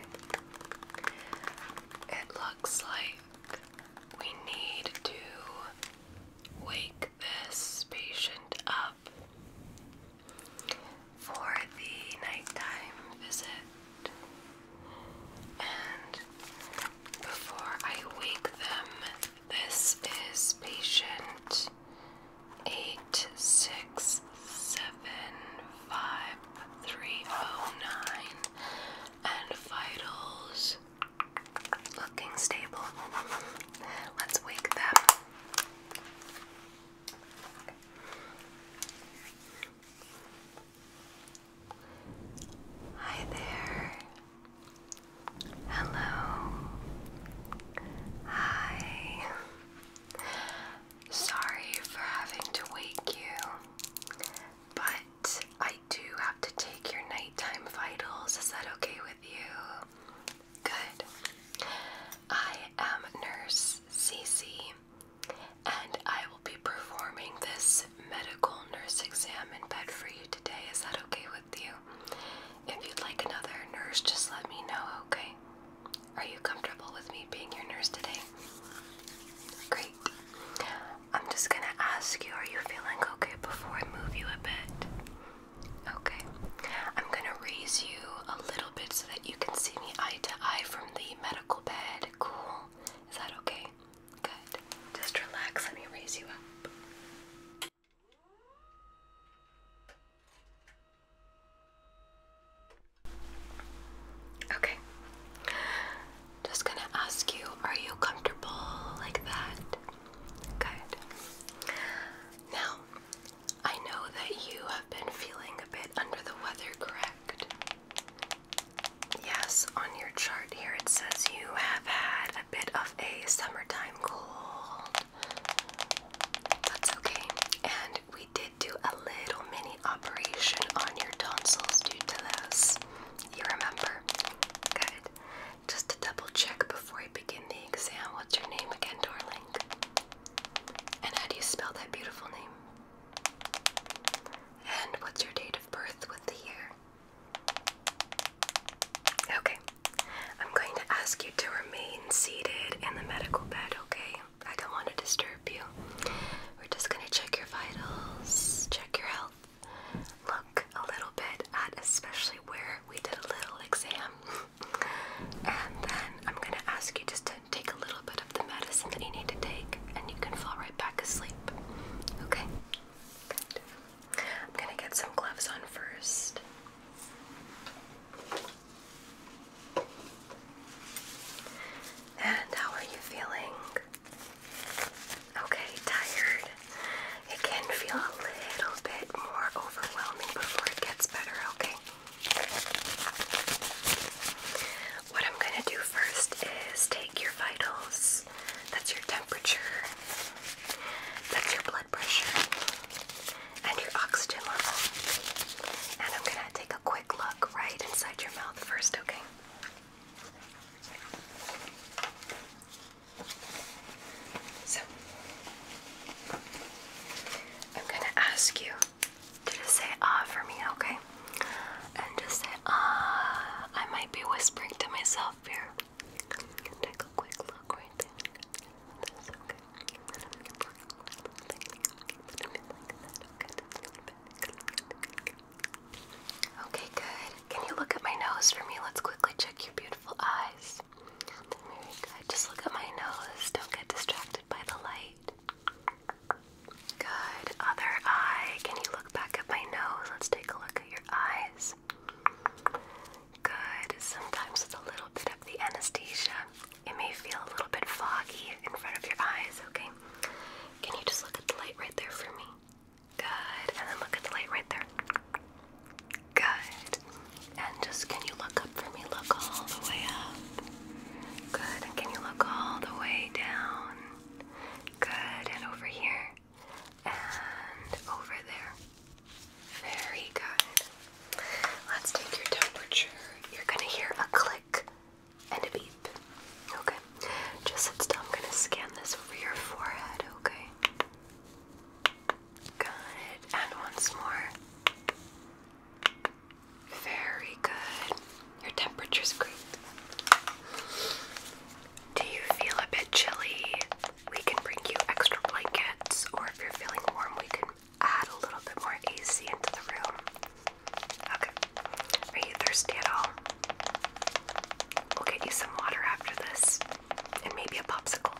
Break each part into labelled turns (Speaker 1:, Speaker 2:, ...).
Speaker 1: It looks like we need to wake this patient up for the nighttime visit. And before I wake them, this is patient 860. 675,309. And vitals looking stable. Let's wake them. Hi there. Hello. Hi. Sorry for having to wake you, but I do have to take your nighttime vitals. Is that okay with you? Good. I am Nurse Cece, and I will be performing this medical nurse exam in bed for you today. Is that okay with you? If you'd like another nurse, just let me know, okay? Are you comfortable with me being your nurse today? Great. I'm just gonna ask you, are you feeling okay before I move you a bit? Okay. I'm gonna raise you a little bit so that you can see me eye to eye from the medical bed. Cool. Is that okay? Good. Just relax. Let me raise you up. Okay. Just gonna ask you, are you comfortable like that? Good. Now, I know that you have been feeling a bit under the weather, correct? Yes, on your chart here it says you have had a bit of a summertime cold. That's okay. And we did do a little mini operation on your tonsils due to those. You remember? Good. Just to double check before I begin the exam, what's your name again, darling? And how do you spell that beautiful name? And what's your date of birth with the year? Okay. I'm going to ask you to remain seated in the medical bed, okay? I don't want to disturb you. We're just going to check your vitals, check your health, look a little bit at especially where we did a little exam. and then I'm going to ask you just to take a little bit of the medicine that you need to take and you can fall right back asleep. Okay? Good. I'm going to get some gloves on first. And how are you feeling? Okay, tired. It can feel a little bit more overwhelming before it gets better, okay? What I'm going to do first is take your vitals. That's your temperature. That's your blood pressure and your oxygen level. And I'm gonna take a quick look right inside your mouth first, okay? So, I'm gonna ask you to just say ah for me, okay? And just say ah. I might be whispering to myself here. Take a quick look right there this, okay? And I'm gonna put a little thing, put it in like that, okay? Just a little bit. Okay, good. Can you look at my nose for me? Let's quickly check your beautiful eyes. Very good. Just look at my nose. Don't get distracted by the light. Good. Other eye. Can you look back at my nose? Let's take a look at your eyes. Good. Sometimes it's a little bit of the anesthesia. It may feel a little bit foggy in front of your eyes, okay? Can you just look at the light right there for me? Good. And then look at the light right there. Good. And just can you look up for me? Look all the way up. Good. And can you look all the way down? Good. And over here. And over there. Very good. Let's take your temperature. You're gonna hear a click and a beep. Okay. Just sit still. I'm gonna scan this rear forehead, okay? Got And once more. Very good. Your temperature's great. Do you feel a bit chilly? We can bring you extra blankets, or if you're feeling warm, we can add a little bit more AC into the room. Okay. Are you thirsty at all? We'll get you some water after this, and maybe a popsicle.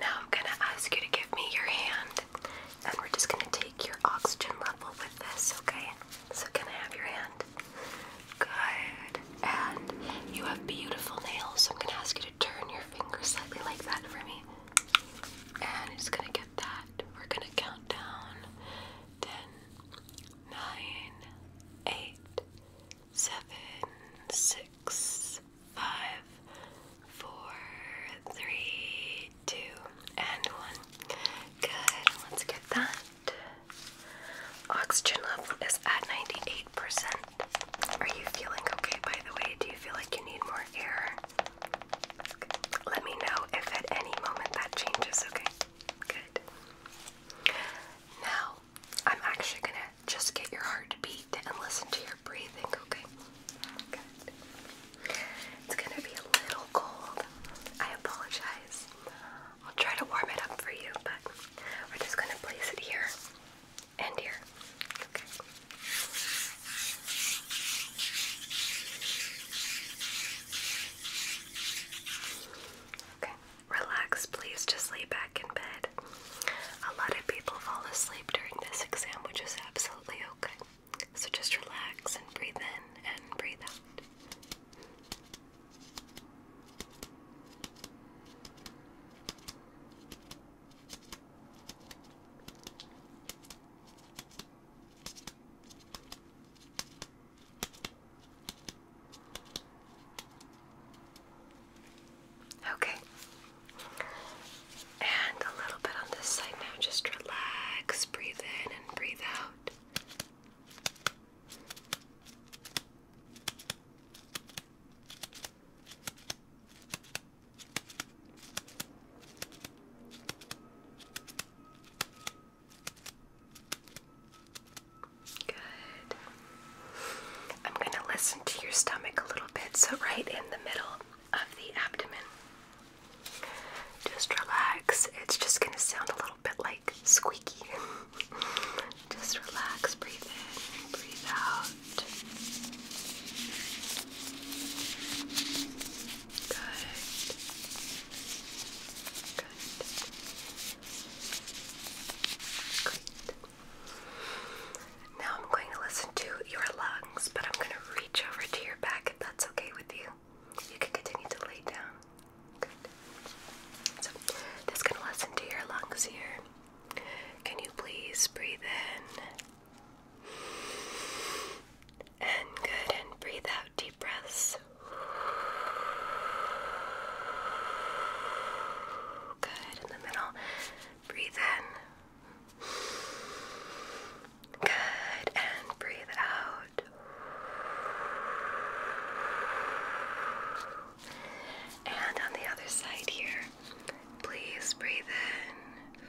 Speaker 1: Now I'm gonna ask you to give me your hand, and we're just gonna take your oxygen level with this, okay? So can I have your hand? Good. And you have beautiful nails, so I'm gonna ask you turn your finger slightly like that for me. And it's gonna get that. We're gonna count down. Ten, nine, eight, seven, six, five, four, three, two, and one. Good. Let's get that. Oxygen level is at 98%. Are you feeling okay, by the way? Do you feel like you need more air? Let me know if at any moment that changes, okay? Good. Now, I'm actually gonna just get your heart and listen to your breathing, okay? Good. It's gonna be a little cold. I apologize. I'll try to warm it up for you, but we're just gonna place it here and here. Okay. Relax, please. Just lay back in bed. A lot of people fall asleep during this exam, which is absolutely okay. So just relax and breathe in and breathe out. Okay. And a little bit on this side now. Just relax, breathe in and breathe out. Good. I'm going to listen to your stomach a little bit, so right in the middle of the abdomen. Just relax. It's just going to sound a little bit like squeaky. Just relax, breathe in, breathe out. Good. Good. Great. Now I'm going to listen to your lungs, but I'm going to reach over to your back if that's okay with you. You can continue to lay down. So this can listen to your lungs here. Can you please breathe in? And good, and breathe out deep breaths. Good, in the middle. Breathe in. Good, and breathe out. And on the other side here, please breathe in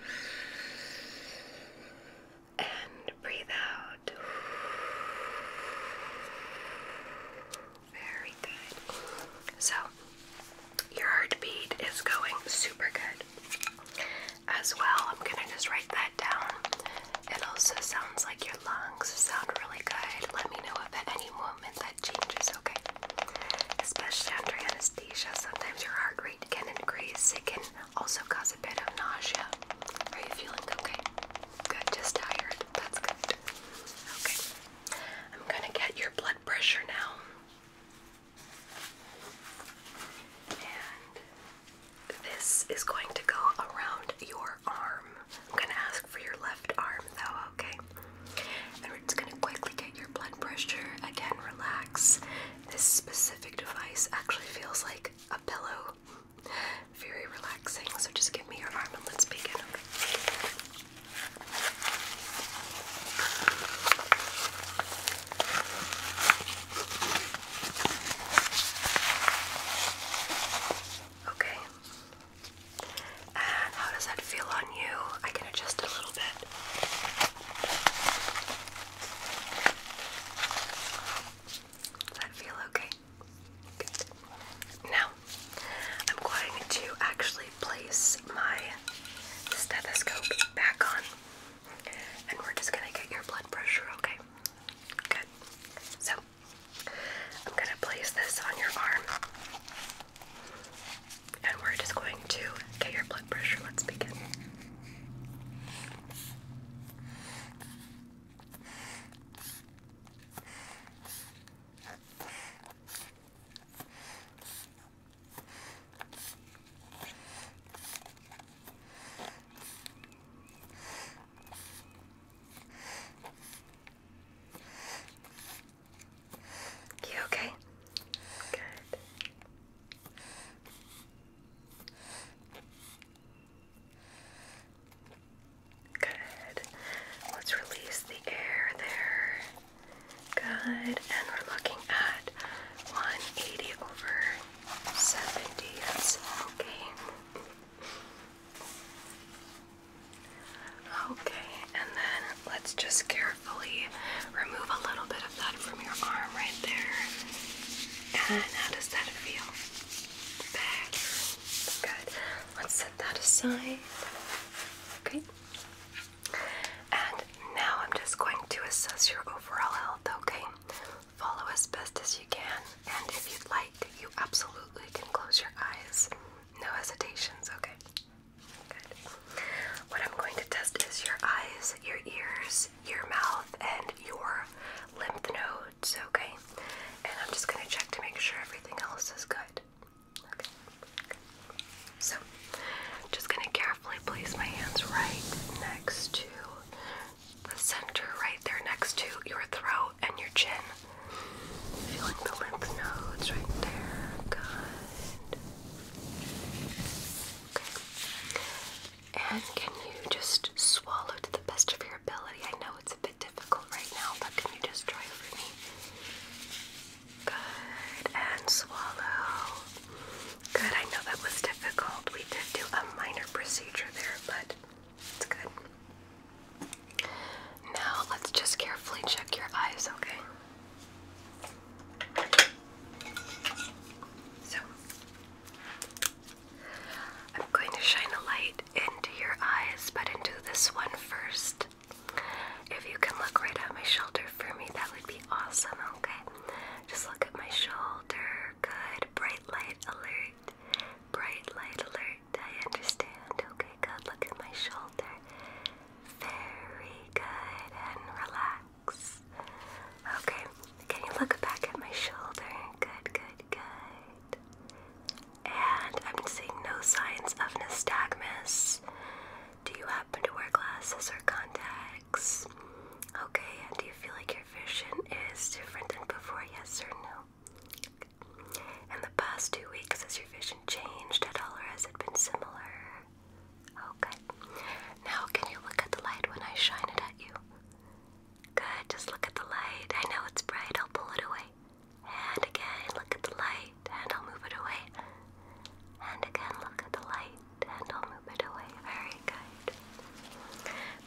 Speaker 1: and breathe out. Very good. So, your heartbeat is going super good. As well, I'm gonna just write that down. It also sounds like your lungs sound really good. Let me know if at any moment that changes, okay? Especially under anesthesia, sometimes your heart rate can increase. It can also cause a bit of nausea. Are you feeling okay? Good, just tired. That's good. Okay. I'm gonna get your blood pressure now. And this is going to go around your arm. I'm gonna ask for your left arm though, okay? And we're just gonna quickly get your blood pressure. Again, relax. This specific device actually feels like a pillow. Very relaxing. So just give me your arm and let's begin, okay? Okay, and how does that feel on you? I can adjust a little bit. Does that feel okay? Good. Now, I'm going to actually place my stethoscope back on. And we're just going to get your blood pressure, okay? Good. So, I'm going to place this on your arm. And we're just going to get your blood pressure. Let's begin. You okay? Good. Good. Let's release the air there. Good. And we're looking at 180 over 70. okay. Okay, and then let's just carefully remove a little bit of that from your arm right there. And how does that feel? Better. Good. Let's set that aside. Okay. And now I'm just going to assess your overall health, okay? follow as best as you can, and if you'd like, you absolutely can close your eyes. No hesitations, okay? Good. What I'm going to test is your eyes, your ears, your mouth, and your lymph nodes, okay? And I'm just going to check to make sure everything else is good. Okay. okay. So, I'm just going to carefully place my hands right next to the center right there next to your throat and your chin. Feeling the lymph nodes right there. Good. Okay. And can you just swallow to the best of your ability? I know it's a bit difficult right now, but can you just try for me? Good. And swallow. Good. I know that was difficult. We did do a minor procedure there, but it's good. Now let's just carefully check your eyes, okay? So, I'm going to shine a light into your eyes, but into this one first. If you can look right at my shoulder for me, that would be awesome, okay? Just look at my shoulder. Good. Bright light alert. Bright light alert. I understand. Okay, good. Look at my shoulder. Very good. And relax. Okay, can you look back at my shoulder? Good, good, good. And I'm seeing no signs of astigmatism. Do you happen to wear glasses or contacts? Okay, and do you feel like your vision is different than before? Yes or no? In the past two weeks, has your vision changed at all, or has it been similar? Okay. Oh, now, can you look at the light when I shine it at you? Good, just look at the light. I know it's bright, I'll pull it away. And again, look at the light, and I'll move it away. And again, look at the light, and I'll move it away. Very good.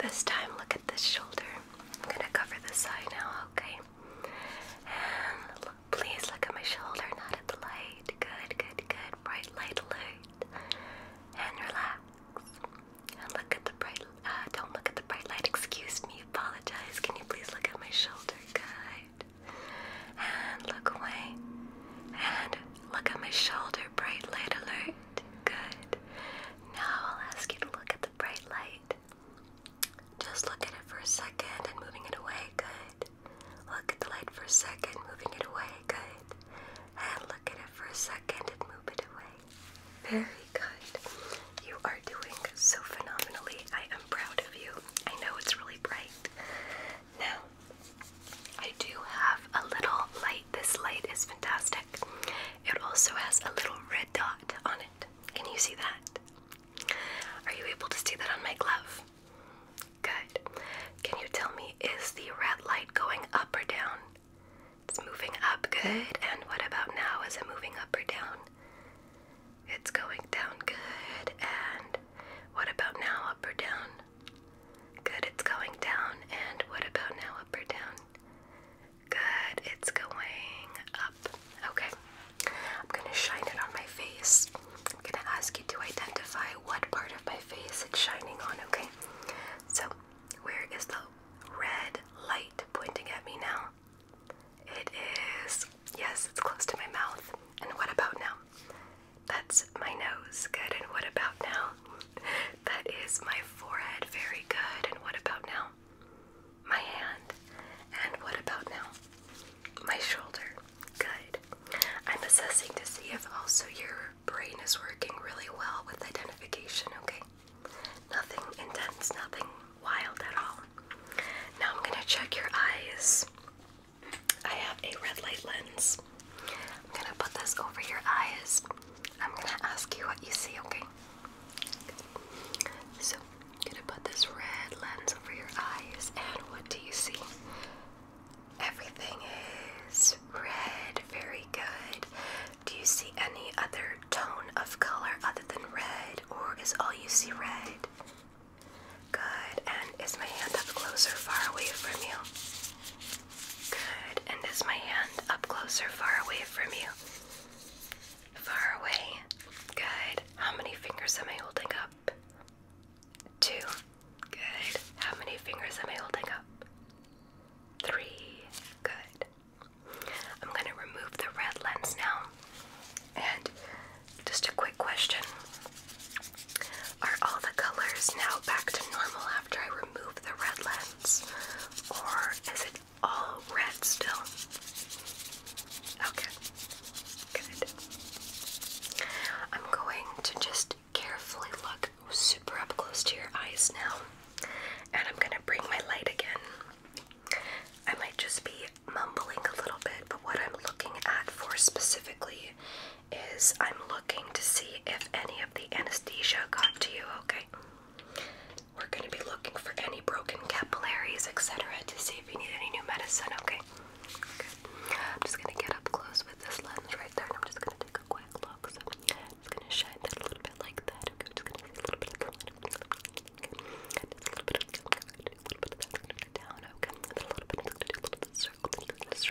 Speaker 1: This time, look look this shoulder. I'm gonna cover this side now, okay? And please look at my shoulder, not at the light. Good, good, good. Bright light, light. And relax. And look at the bright. Uh, don't look at the bright light. Excuse me. Apologize. Can you please look at my shoulder? Good. And look away. And look at my shoulder. Bright light alert good. Now I'll ask you to look at the bright light. Just look at it for a second and moving it away, good. Look at the light for a second, moving it away, good. And look at it for a second and move it away. Very good. You are doing so phenomenally. I am proud of you. I know it's really bright. Now, I do have a little light. This light is fantastic. It also has a little red dot on it. Can you see that? Are you able to see that on my glove? Good. Can you tell me, is the red light going up or down? It's moving up, good. And what about now? Is it moving up or down? It's going down, good. And what about now, up or down? Good, it's going down. And what about now, up or down? Good, it's going up. Okay, I'm gonna shine it on my face. I'm gonna ask you to identify what part of my face it's shining on, okay? So, where is the red light pointing at me now? It is, yes, it's close to my mouth. And what about now? That's my nose. Good, and what about now? That is my forehead. Very good. And what about now? My hand. And what about now? My shoulder. Good. I'm assessing to see if also your brain is working really well with identification, okay? Nothing intense, nothing wild at all. Now I'm going to check your eyes. I have a red light lens. I'm gonna put this over your eyes. I'm gonna ask you what you see, okay? So, I'm gonna put this red lens over your eyes, and what do you see? Everything is red. Very good. Do you see any other tone of color other than red, or is all you see red? Good. And is my hand up closer, far away from you? Good. And is my hand up closer, far away from you? Far away. Good. How many fingers am I holding up? Two. Good. How many fingers am I holding up? Three. Good. I'm going to remove the red lens now. And just a quick question Are all the colors now back to normal after I remove the red lens? or is it all red still? Okay, good. I'm going to just carefully look super up close to your eyes now, and I'm gonna bring my light again. I might just be mumbling a little bit, but what I'm looking at for specifically is I'm looking to see if any of the anesthesia got to you, okay? We're going to be looking for any broken capillaries, etc., to see if you need any new medicine, okay? I'm just going to get up close with this lens right there, I'm just going to take a quick look. So I'm just going to shine that a little bit like that, okay? I'm just going to take a little bit,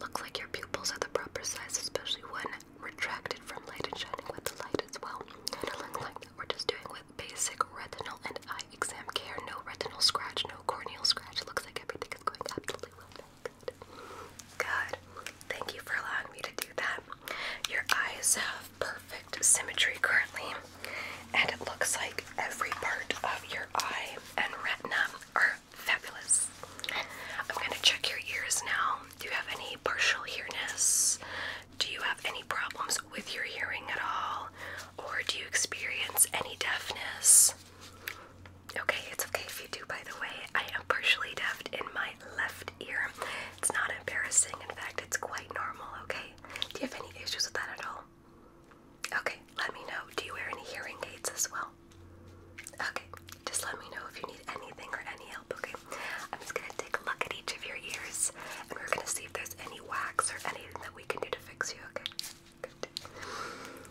Speaker 1: Looks like your pupils are the proper size, especially when retracted from light and shining with the light as well. Nothing like We're just doing with basic retinal and eye exam care. No retinal scratch, no corneal scratch. Looks like everything is going absolutely well. Good. Good. Thank you for allowing me to do that. Your eyes have perfect symmetry currently, and it looks like every part of your eye and retina are Fabulous. I'm going to check your ears now. Do you have any partial hearness? Do you have any problems with your hearing at all? Or do you experience any deafness? Okay, it's okay if you do, by the way. I am partially deaf in my left ear. It's not embarrassing. In fact, it's quite normal, okay? Do you have any issues with that at all? Okay, let me know. Do you wear any hearing aids as well? Okay, just let me know if you need anything or any help, okay? I'm just gonna take a look at each of your ears and we're gonna see if there's any wax or anything that we can do to fix you, okay?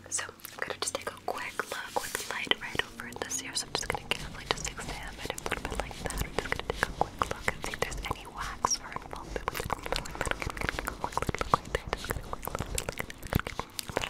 Speaker 1: So, I'm gonna just take a quick look with light right over in this ear, so I'm just gonna carefully just examine it a little bit like that. I'm just gonna take a quick look and see if there's any wax or involvement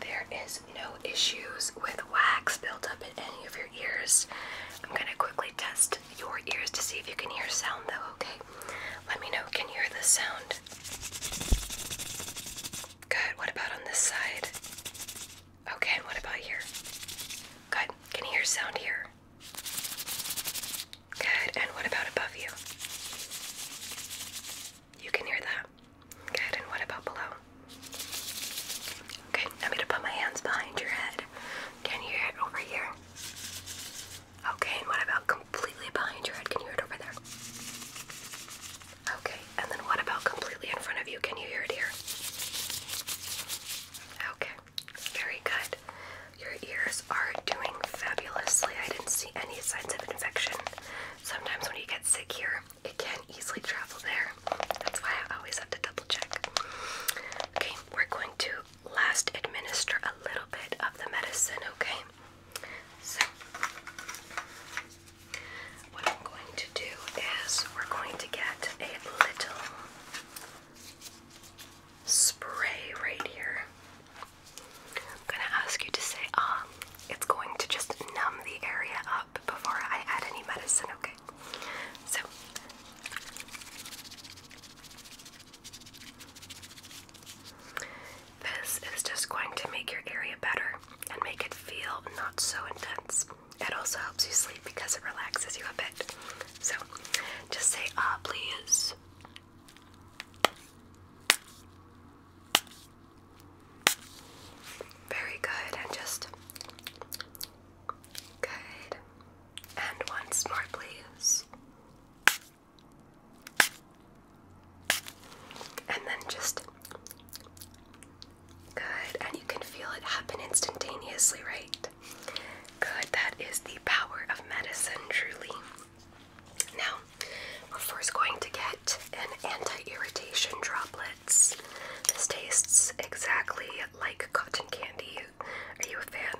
Speaker 1: There is no issues with wax built up in any of your ears. I'm going to quickly test your ears to see if you can hear sound though, okay? Let me know, can you hear the sound? Good. What about on this side? Okay, and what about here? Good. Can you hear sound here? Good. And what about above you? You can hear that. Good. And what about below? Okay, I'm going to put my hands behind your head. Can you hear it over here? Okay, and what about completely behind your head? Can you hear it over there? Okay, and then what about completely in front of you? Can you hear it here? Okay, very good. Your ears are doing fabulously. I didn't see any signs of infection. Sometimes when you get sick here, it can easily travel there. That's why I always have to double check. Okay, we're going to last administer a little bit of the medicine, okay? So, what I'm going to do is we're going to get a little spray right here. I'm gonna ask you to say, ah, it's going to just numb the area up before I add any medicine, okay? So, this is just going to make your area better and make it feel not so intense. It also helps you sleep because it relaxes you a bit. So just say, ah, oh, please. Very good, and just good. And once more, please. And then just good. And you can feel it happen instantaneously, right? Good. That is the power of medicine, truly. Now, we're first going to get an anti irritation droplets. This tastes exactly like cotton candy you are you a fan?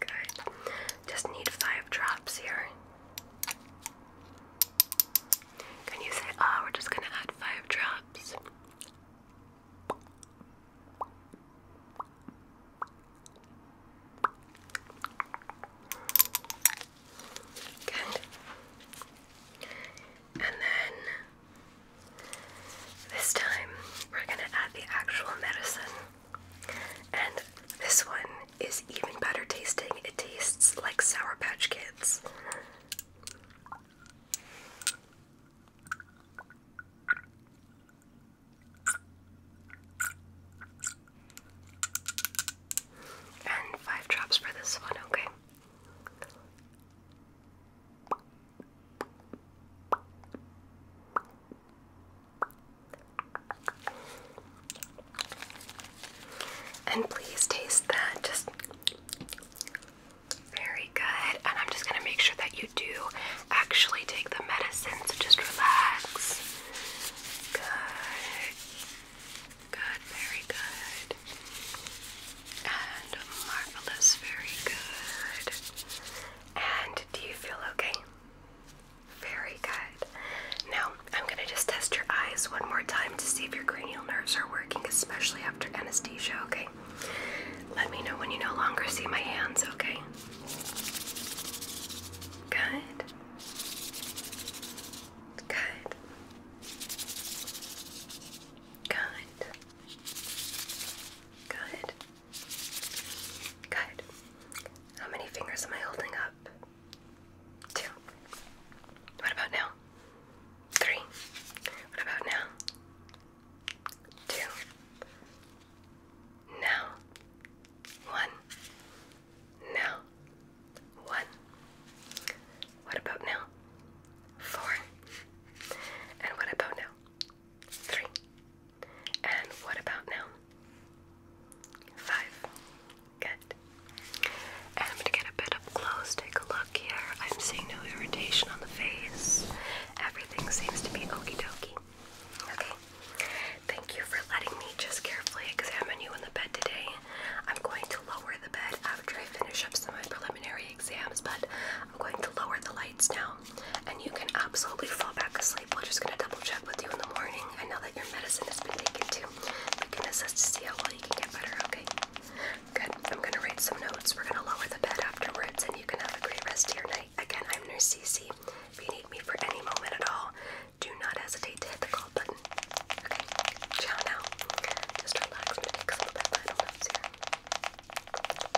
Speaker 1: Good. Just need five drops here. Can you say ah we're just gonna add five drops? Good. And then this time we're going to add the actual medicine. And this one is even better tasting. It tastes like Sour Patch Kids. And five drops for this one, okay? And please taste that. very good. And I'm just going to make sure that you do actually take the medicine, so just relax. Good. Good, very good. And marvelous, very good. And do you feel okay? Very good. Now, I'm going to just test your eyes one more time to see if your cranial nerves are working, especially after anesthesia, okay? Let me know when you no longer see my hands, okay? Good. Good. Good. Good. Good. How many fingers am I holding up? Two. What about now? Three. What about now? Two. Now. One. Now. One. What about now? Four. And what about now? Three. And what about now? Five. Good. And I'm gonna get a bit up close, take a look here. I'm seeing no irritation on the face. Everything seems to be okey dokey. Okay. Thank you for letting me just carefully examine you in the bed today. I'm going to lower the bed after I finish up some of my preliminary exams, but I'm going to lower the lights now and you can absolutely fall back asleep. We're just going to double check with you in the morning. I know that your medicine has been taken too. We can assess to see how well you can get better, okay? Good. I'm going to write some notes. We're going to lower the bed afterwards, and you can have a great rest of your night. Again, I'm Nurse Cece. If you need me for any moment at all, do not hesitate to hit the call button. Okay? Ciao now. Just relax take some of the